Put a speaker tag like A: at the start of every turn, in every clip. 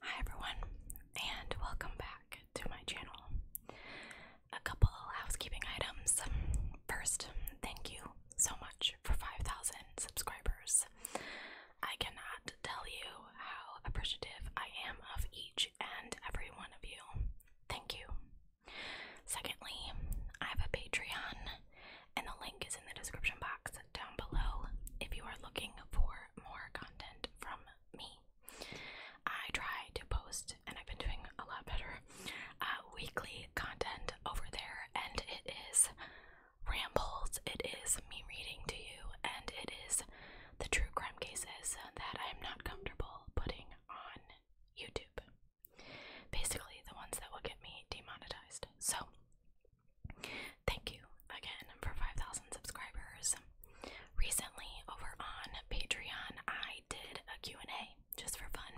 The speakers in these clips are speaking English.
A: Hi everyone, and welcome back to my channel. A couple housekeeping items. First, thank you so much for 5,000 subscribers. I cannot tell you how appreciative I am of each and every one of you. Thank you. Secondly, I have a Patreon, and the link is in the description box down below if you are looking for more content from me. I try to post, and I've been doing a lot better, uh, weekly content over there, and it is rambles, it is me reading to you, and it is the true crime cases that I'm not comfortable putting on YouTube. Basically, the ones that will get me demonetized. So, thank you again for 5,000 subscribers. Recently, over on Patreon, I did a Q&A just for fun.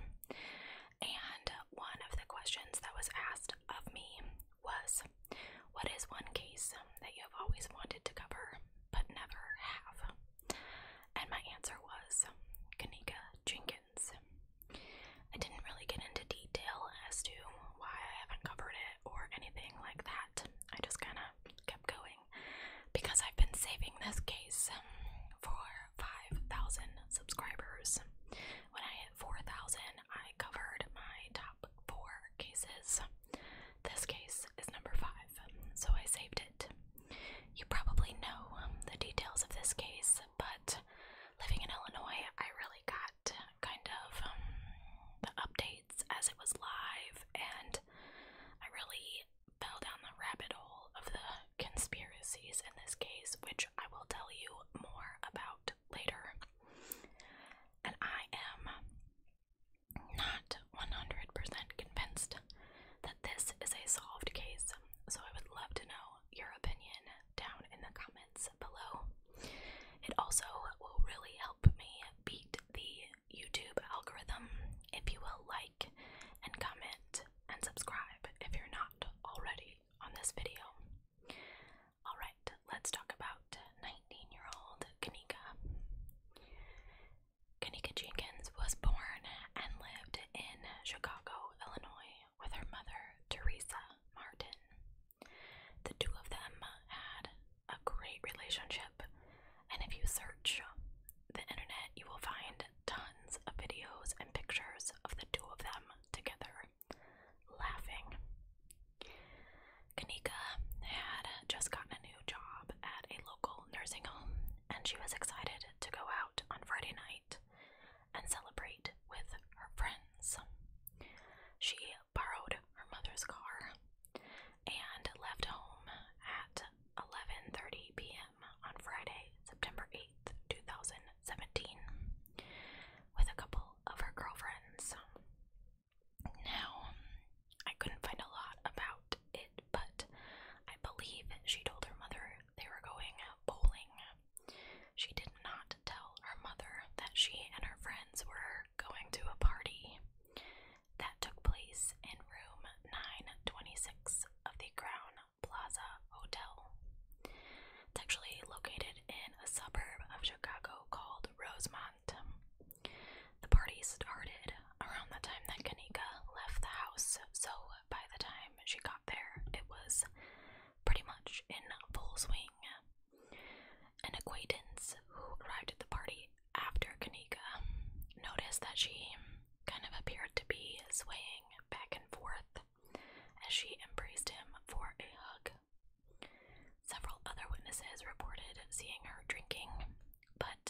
A: And one of the questions that was asked of me was, what is one case that you have always wanted to cover but never have? And my answer was Kanika Jenkins. I didn't really get into detail as to why I haven't covered it or anything like that. I just kind of kept going because I've been saving this case for 5,000 subscribers. When I hit 4,000, I covered my top four cases this case is number five, so I saved it. You probably know the details of this case, but living in Illinois, I really got kind of um, the updates as it was live, and I really fell down the rabbit hole of the conspiracies in this case, which I will tell you more about later. And I am not 100% convinced that this is a solved case, so I would love to know your opinion down in the comments below. It also will really help me beat the YouTube algorithm if you will like and comment and subscribe if you're not already on this video. Alright, let's talk about 19 year old Kanika. Kanika Jenkins was born and lived in Chicago, Illinois, with her mother, Teresa Martin. The two of them had a great relationship, and if you search the internet, you will find tons of videos and pictures of the two of them together, laughing. Kanika had just gotten a new job at a local nursing home, and she was excited to go out on Friday night and celebrate with her friends. She borrowed her mother's car and left home at 11:30 p.m. on Friday, September 8th, 2017, with a couple of her girlfriends. Now, I couldn't find a lot about it, but I believe she told her mother they were going bowling. She did not tell her mother that she and her friends were going to a party that took place in room 926 of the Crown Plaza Hotel. It's actually located in a suburb of Chicago called Rosemont. The party started around the time that Kanika left the house, so by the time she got there, it was pretty much in full swing. An acquaintance who arrived at the party after Kanika noticed that she kind of appeared to be swaying back and forth as she embraced him for a hug. Several other witnesses reported seeing her drinking but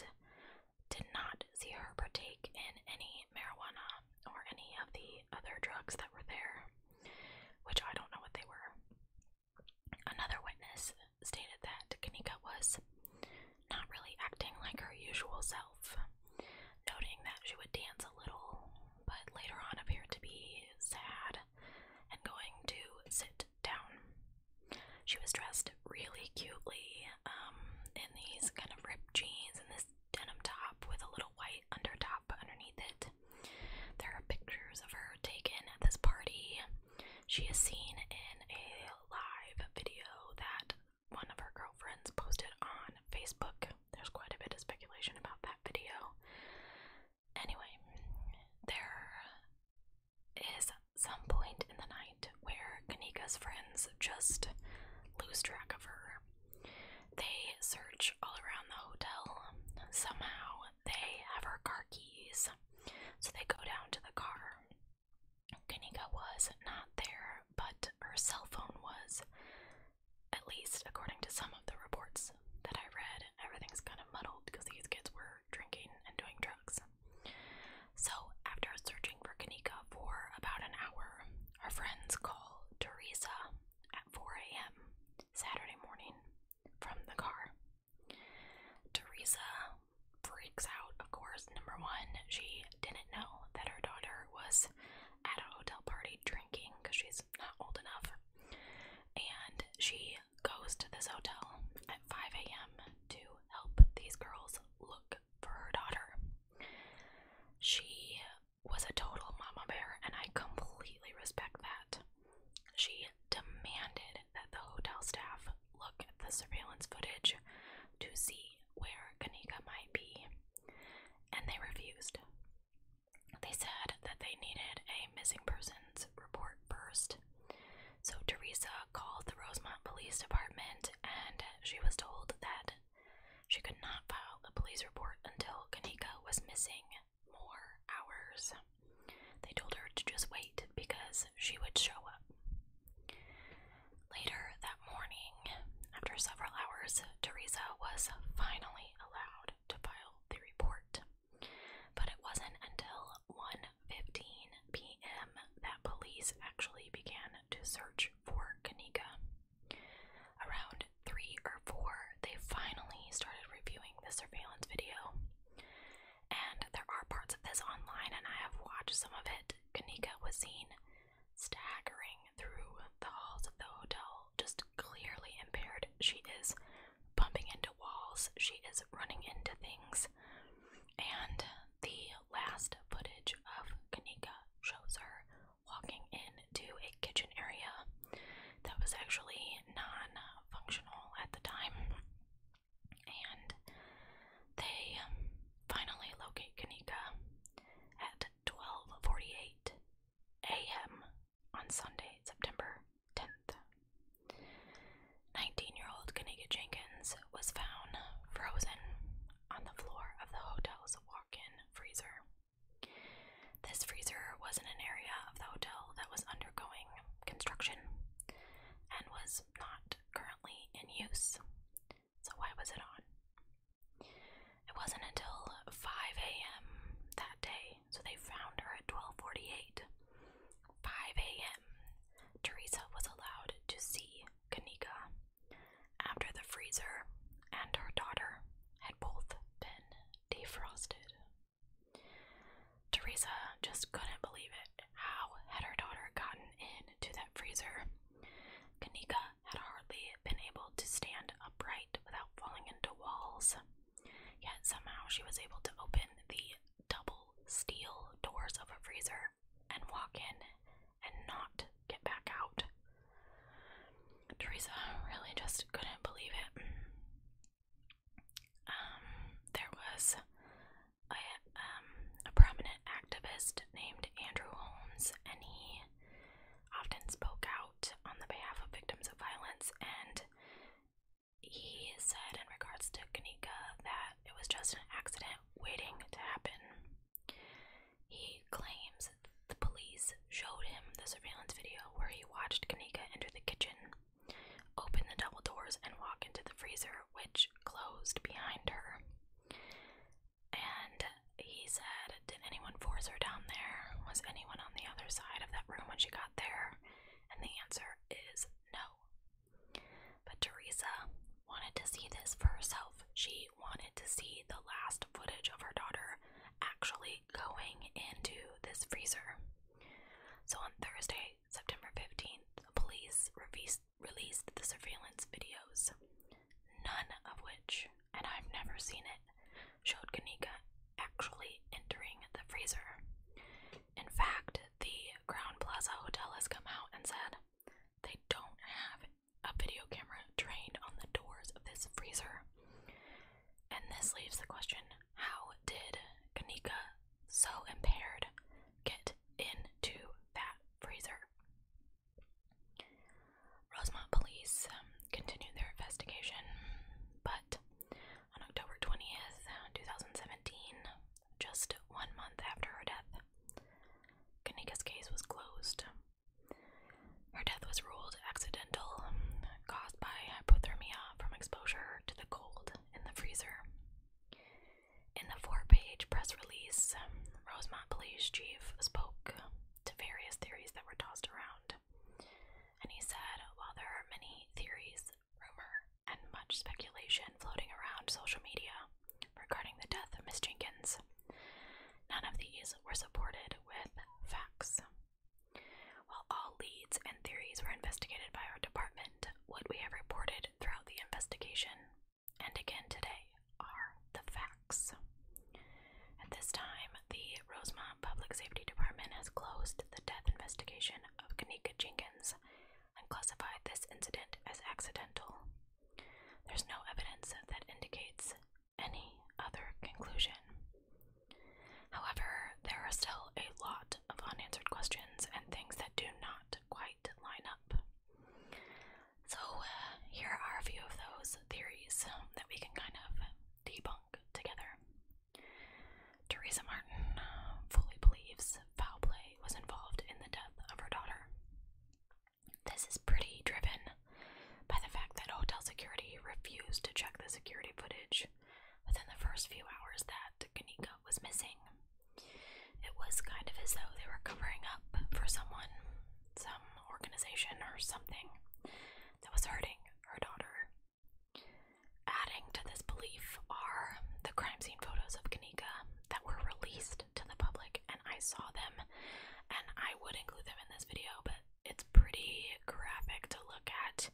A: did not see her partake in any marijuana or any of the other drugs that were there, which I don't know what they were. Another witness stated that Kanika was not really acting like her usual self, noting that she would dance a little, but later on appeared to be sad and going to sit down. She was dressed really cutely um, in these kind of ripped jeans and this denim top with a little white undertop underneath it. There are pictures of her taken at this party. She is seen in a live video that one of her girlfriends posted on Facebook. There's quite a bit of speculation about that video. Anyway, there is some point in the night where Kanika's friends just lose track of her. They search all around the hotel. Somehow they have her car keys, so they go down to the car. Kanika was not there, but her cell phone was. At least according to some of the reports that I read, everything's kind of muddled because these kids were drinking and doing drugs. So, after searching for Kanika for about an hour, her friends call Teresa at 4 a.m. Saturday morning from the car. Teresa freaks out, of course. Number one, she didn't know that her daughter was at a hotel party drinking because she's not old enough. And she goes to this hotel at 5 a.m. to help these girls look for her daughter. She was a total mama bear, and I completely respect that. She demanded that the hotel staff look at the surveillance footage to see where Kanika might be, and they refused. They said that they needed a missing persons report first so Teresa called the Rosemont Police Department and she was told that she could not file a police report until Kanika was missing more hours. They told her to just wait because she would show up. Later that morning, after several hours, Teresa was finally allowed to file the report. But it wasn't until 1:15 p.m. that police actually began to search for Kanika. Around 3 or 4, they finally started reviewing the surveillance video. And there are parts of this online and I have watched some of it. Kanika was seen staggering through the halls of the hotel, just clearly impaired. She is bumping into walls, she is running into things. And the last footage of Kanika shows her walking into a kitchen area that was actually non functional at the time. And they finally locate Kanika at 12:48 a.m. on Sunday, September 10th. 19 year old Kanika Jenkins was found frozen on the floor of the hotel's walk in freezer. This freezer was in an area of the hotel that was undergoing construction and was not currently in use. So, why was it on? It wasn't until 5 a.m. that day, so they found her at 12:48 5 a.m., Teresa was allowed to see Kanika after the freezer and her daughter had both been defrosted. Teresa just couldn't believe it. How had her daughter gotten into that freezer? Kanika had hardly been able to stand upright without falling into walls, yet somehow she was able to open the double steel doors of a freezer and walk in and not get back out. Teresa really just couldn't believe it. Um, there was um, a prominent activist named Andrew Holmes, and he often spoke out on the behalf of victims of violence and he said in regards to Kanika that it was just an accident waiting to happen. He claims the police showed him the surveillance video where he watched Kanika enter the kitchen, open the double doors, and walk into the freezer, which closed behind her. And he said, Did anyone force her down there? Was anyone on the other side of that room when she got there? And the answer is no. But Teresa wanted to see this for herself. She wanted to see the last footage of her daughter actually going into this freezer. So on Thursday, September 15th, police released, the surveillance videos, none of which, and I've never seen it, showed Kanika actually entering the freezer. In fact, the Crown Plaza Hotel has come out and said they don't have a video camera trained on the doors of this freezer. And this leaves the question how did Kanika, so impaired, get into that freezer? Rosemont police um, their investigation, but on October 20th, 2017, just one month after her death, Kanika's case was closed. Her death was ruled accidental, caused by hypothermia from exposure to the cold in the freezer. In the four page press release, Rosemont Police Chief spoke to various theories that were tossed around. And he said, while there are many theories rumor and much speculation floating around social media regarding the death of Miss Jenkins. None of these were supported with facts. While all leads and theories were investigated by our department, what we have reported throughout the investigation and again today are the facts. At this time, the Rosemont Public Safety Department has closed the death investigation of Kanika Jenkins and classified this incident as accidental. There's no evidence that indicates any other conclusion. However, there are still a lot of unanswered questions and things that do not quite line up. So, uh, here are a few of those theories that we can kind of debunk together. Teresa Martin um, fully believes foul play was involved in the death of her daughter. This is pretty driven by the fact that hotel security refused to check the security footage within the first few hours that Kanika was missing. It was kind of as though they were covering up for someone, some organization or something that was hurting her daughter Adding to this belief are the crime scene photos of Kanika that were released to the public, and I saw them, and I would include them in this video, but it's pretty graphic to look at.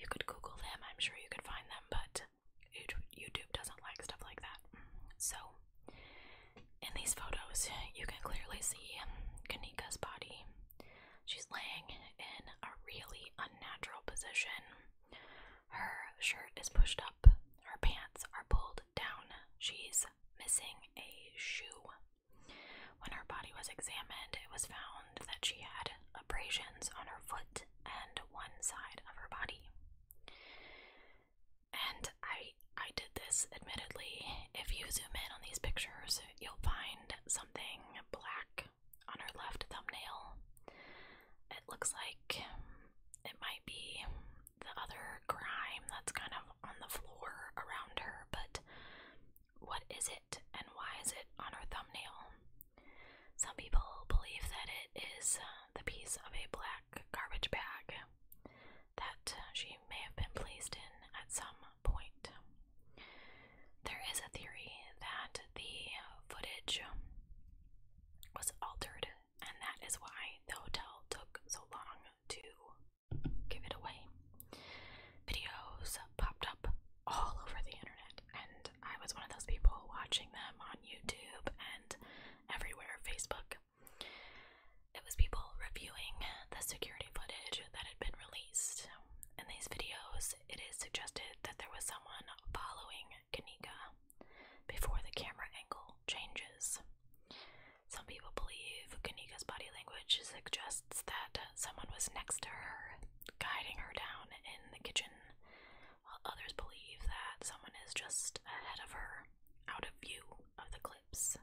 A: You could Google them, I'm sure you could find them, but YouTube doesn't like stuff like that. So, in these photos, you can clearly see Kanika's body She's laying in a really unnatural position. Her shirt is pushed up, her pants are pulled down. She's missing a shoe. When her body was examined, it was found that she had abrasions on her foot and one side of her body. And I I did this admittedly. If you zoom in on these pictures, you'll find something black on her left thumbnail. It looks like it might be the other crime that's kind of on the floor around her, but what is it and why is it on her thumbnail? Some people believe that it is uh, the piece of a black garbage bag that uh, she may have been placed in at some point. There is a theory that the footage was altered, and that is why the hotel took so long to give it away. Videos popped up all over the internet, and I was one of those people watching them on YouTube and everywhere Facebook. It was people reviewing the security footage that had been released in these videos, it is suggested that there was someone following Kanika before the camera angle changes. Some people believe Kanika's body language suggests that someone was next to her, guiding her down in the kitchen, while others believe that someone is just ahead of her, out of view of the clips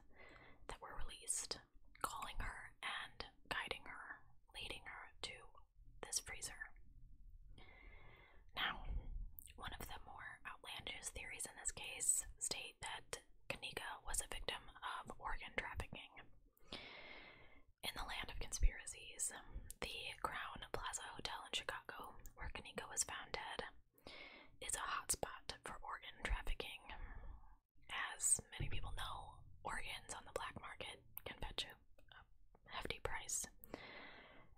A: that were released, calling her and guiding her, leading her to this freezer. Now, one of the more outlandish theories in this case state that Kanika was a victim of organ trafficking. In the land of conspiracies, the Crown Plaza Hotel in Chicago, where Kanika was found dead, is a hotspot for organ trafficking. As many people know, organs on the black market can fetch you hefty price.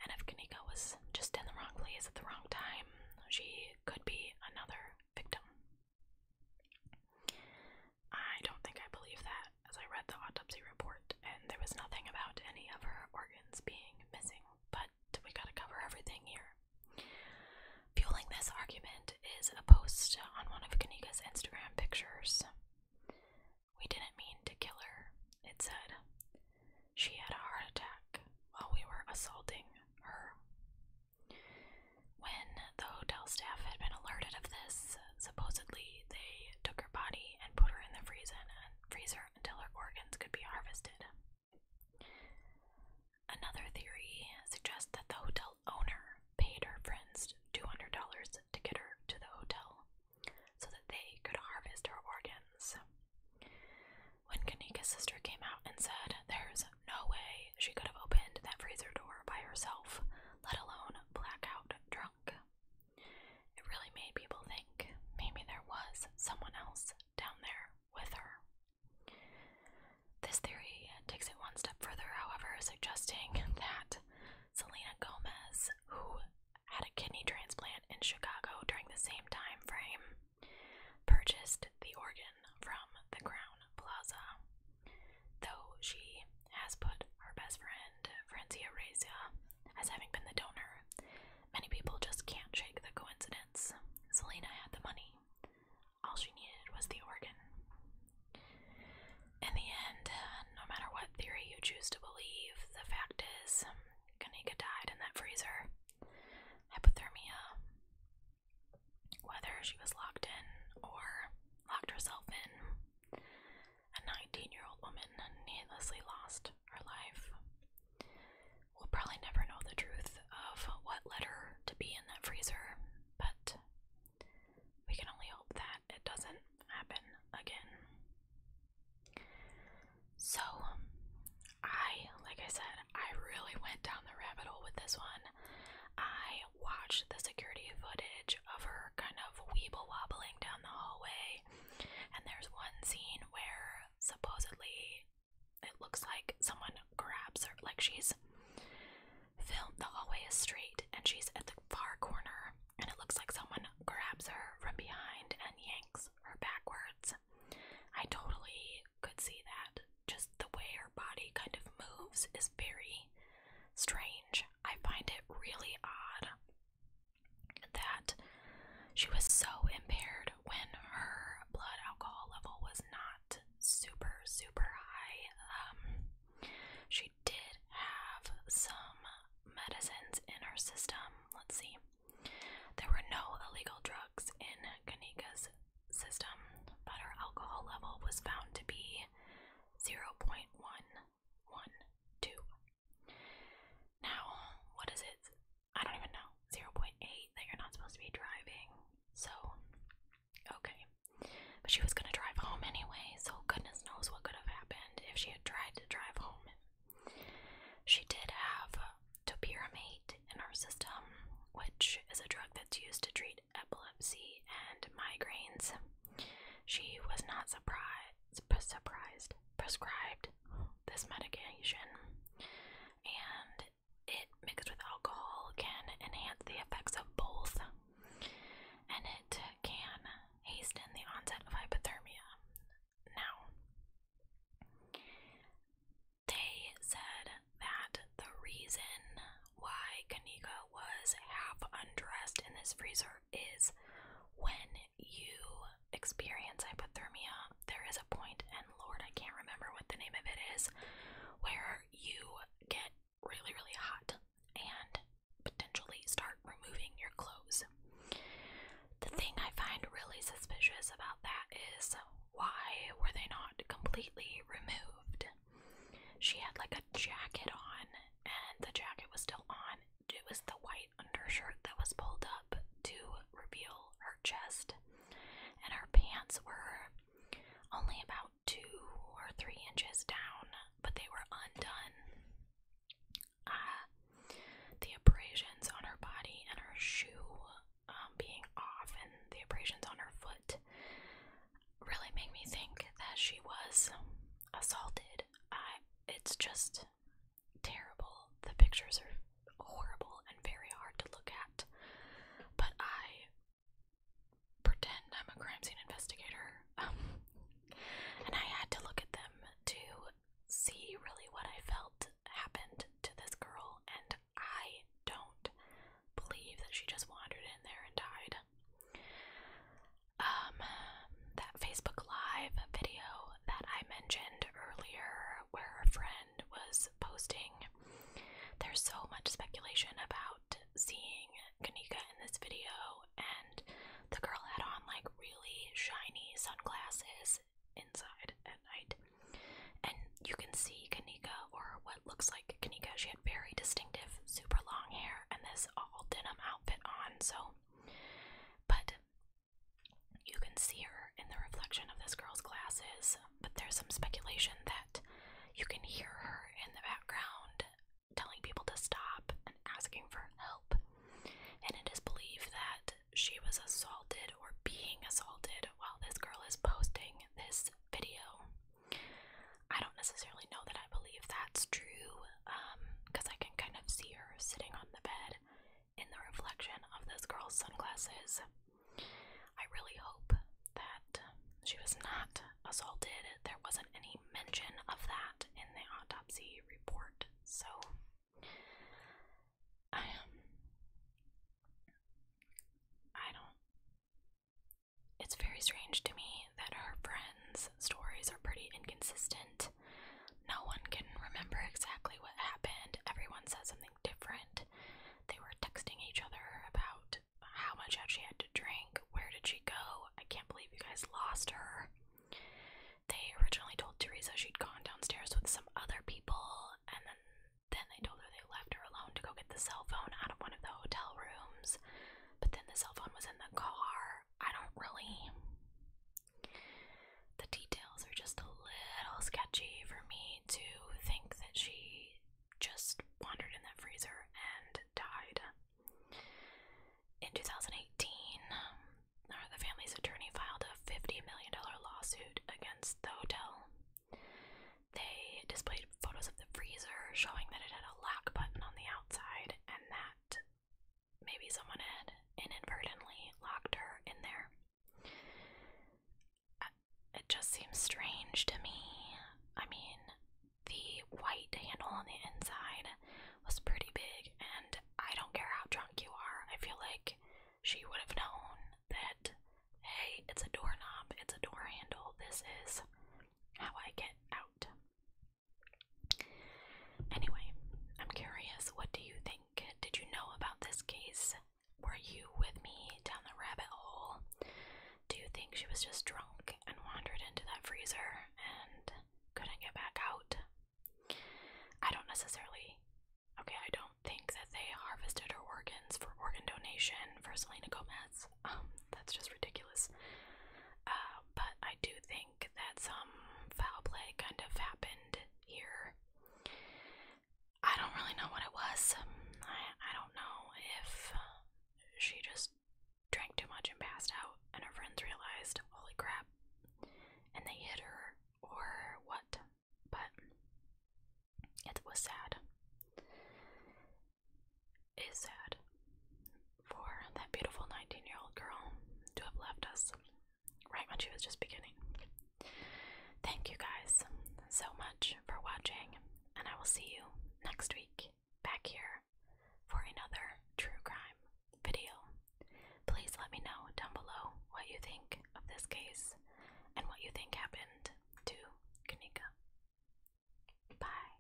A: And if Kanika was just in the wrong place at the wrong time, she could be another victim. I don't think I believe that, as I read the autopsy report, and there was nothing about any of her organs being missing, but we gotta cover everything here. Fueling this argument is a post on one of Kanika's Instagram pictures we didn't mean to kill her, it said. She had a heart attack while we were assaulting her. When the hotel staff had been alerted of this, supposedly they took her body and put her in the freezer until her organs could be harvested. Another theory suggests that the hotel owner paid her friends $200 to get her to the hotel so that they could harvest her organs. When Kanika's sister came out and said, There's no way she could have opened that freezer door by herself, let alone blackout drunk. It really made people think maybe there was someone else down there with her. This theory takes it one step further, however, suggesting that Selena Gomez, who had a kidney transplant in Chicago during the same time frame, purchased the organ from the Crown Plaza. Though she has put her best friend, Francia Reza, as having been the donor, many people just can't shake the coincidence. Selena had the money. All she needed was the organ. In the end, uh, no matter what theory you choose to believe, the fact is, um, Kanika died in that freezer. Hypothermia. Whether she was locked in or locked herself in, a 19 year old woman needlessly lost her life. We'll probably never know the truth of what led her to be in that freezer, but we can only hope that it doesn't happen again. So, um, I, like I said, I really went down the rabbit hole with this one. I watched the security footage of her kind of weeble wobbling down the hallway, and there's one scene where supposedly it looks like someone grabs her, like she's Film the hallway is straight and she's at the far corner and it looks like someone grabs her from behind and yanks her backwards. I totally could see that. Just the way her body kind of moves is very strange. I find it really odd that she was so impaired when her blood alcohol level was not super super high um she she did have some medicines in her system. Let's see. There were no illegal drugs in Kanika's system, but her alcohol level was found to be 0.112. Now, what is it? I don't even know. 0.8 that you're not supposed to be driving. So, Okay. But she was going to drive home anyway, so goodness knows what could have happened if she had tried to drive home. She did have topiramate in her system, which is a drug that's used to treat epilepsy and migraines. She was not surprised, surprised, prescribed this medication, and it mixed with alcohol can enhance the effects of both and it can hasten the onset of hypothermia. Now, they said that the reason why Kanika was half undressed in this freezer is when you experience hypothermia, there is a point, and Lord, I can't remember what the name of it is, where you get really, really hot and potentially start removing your clothes. The thing I find really suspicious about that is why were they not completely removed? She had like a jacket on, and the jacket was still on. It was the white undershirt that was pulled up to reveal her chest, and her pants were only about two or three inches down, but they were undone. Uh, the abrasions on her body and her shoe um, being off, and the abrasions on her foot really make me think that she was assaulted. it's just terrible. The pictures are horrible and very hard to look at, but I pretend I'm a crime scene investigator. Um, and I had to look at them to see really what I felt happened to this girl, and I don't believe that she just wandered in there and died. Um, that Facebook Live video that I mentioned earlier, where a friend was posting, there's so much speculation about seeing Kanika in this video, and the girl had on like really shiny sunglasses inside at night. And you can see Kanika, or what looks like Kanika. She had very distinctive, super long hair and this all denim outfit on, so. But you can see her in the reflection of this girl's glasses, but there's some speculation that you can hear her in the background telling people to stop and asking for help. And it is believed that she was assaulted or being assaulted while this girl is posting this video. I don't necessarily know that I believe that's true because um, I can kind of see her sitting on the bed in the reflection of this girl's sunglasses. I really hope that she was not assaulted. There wasn't any mention of that in the autopsy report. So, um, I don't. It's very strange to me that her friends' stories are pretty inconsistent. No one can remember exactly what happened. Everyone says something different. They were texting each other about how much had she had to drink? Where did she go? I can't believe you guys lost her. They originally told Teresa she'd gone downstairs with some other people, and then then they told her they left her alone to go get the cell phone out of one of the hotel rooms. But then the cell phone was in the car. I don't really. The details are just a little sketchy for me to think that she just wandered in that freezer and died. In 2018, uh, the family's attorney filed a $50 million lawsuit against the hotel. They displayed photos of the freezer showing that it had a lock button on the outside and that maybe someone had inadvertently locked her in there. Uh, it just seems strange to me. I mean, the white handle on the inside was pretty big, and I don't care how drunk you are, I feel like she would have known that hey, it's a doorknob, it's a door handle, this is how I get out. Anyway, I'm curious, what do you think? Did you know about this case? Were you with me down the rabbit hole? do you think she was just drunk and wandered into that freezer and couldn't get back out? I don't necessarily. Okay, I don't think that they harvested her organs for organ donation for Selena Gomez. Um, that's just ridiculous. Uh, but I do think that some foul play kind of happened here. I don't really know what it was. I, I don't know if she just drank too much and passed out, and her friends realized, holy crap, and they hit her or what, but it was sad. It is sad for that beautiful 19 year old girl to have left us right when she was just beginning. Thank you guys so much for watching and I will see you next week back here for another true crime video. Please let me know down below what you think of this case and what you think happened to Kanika. Bye.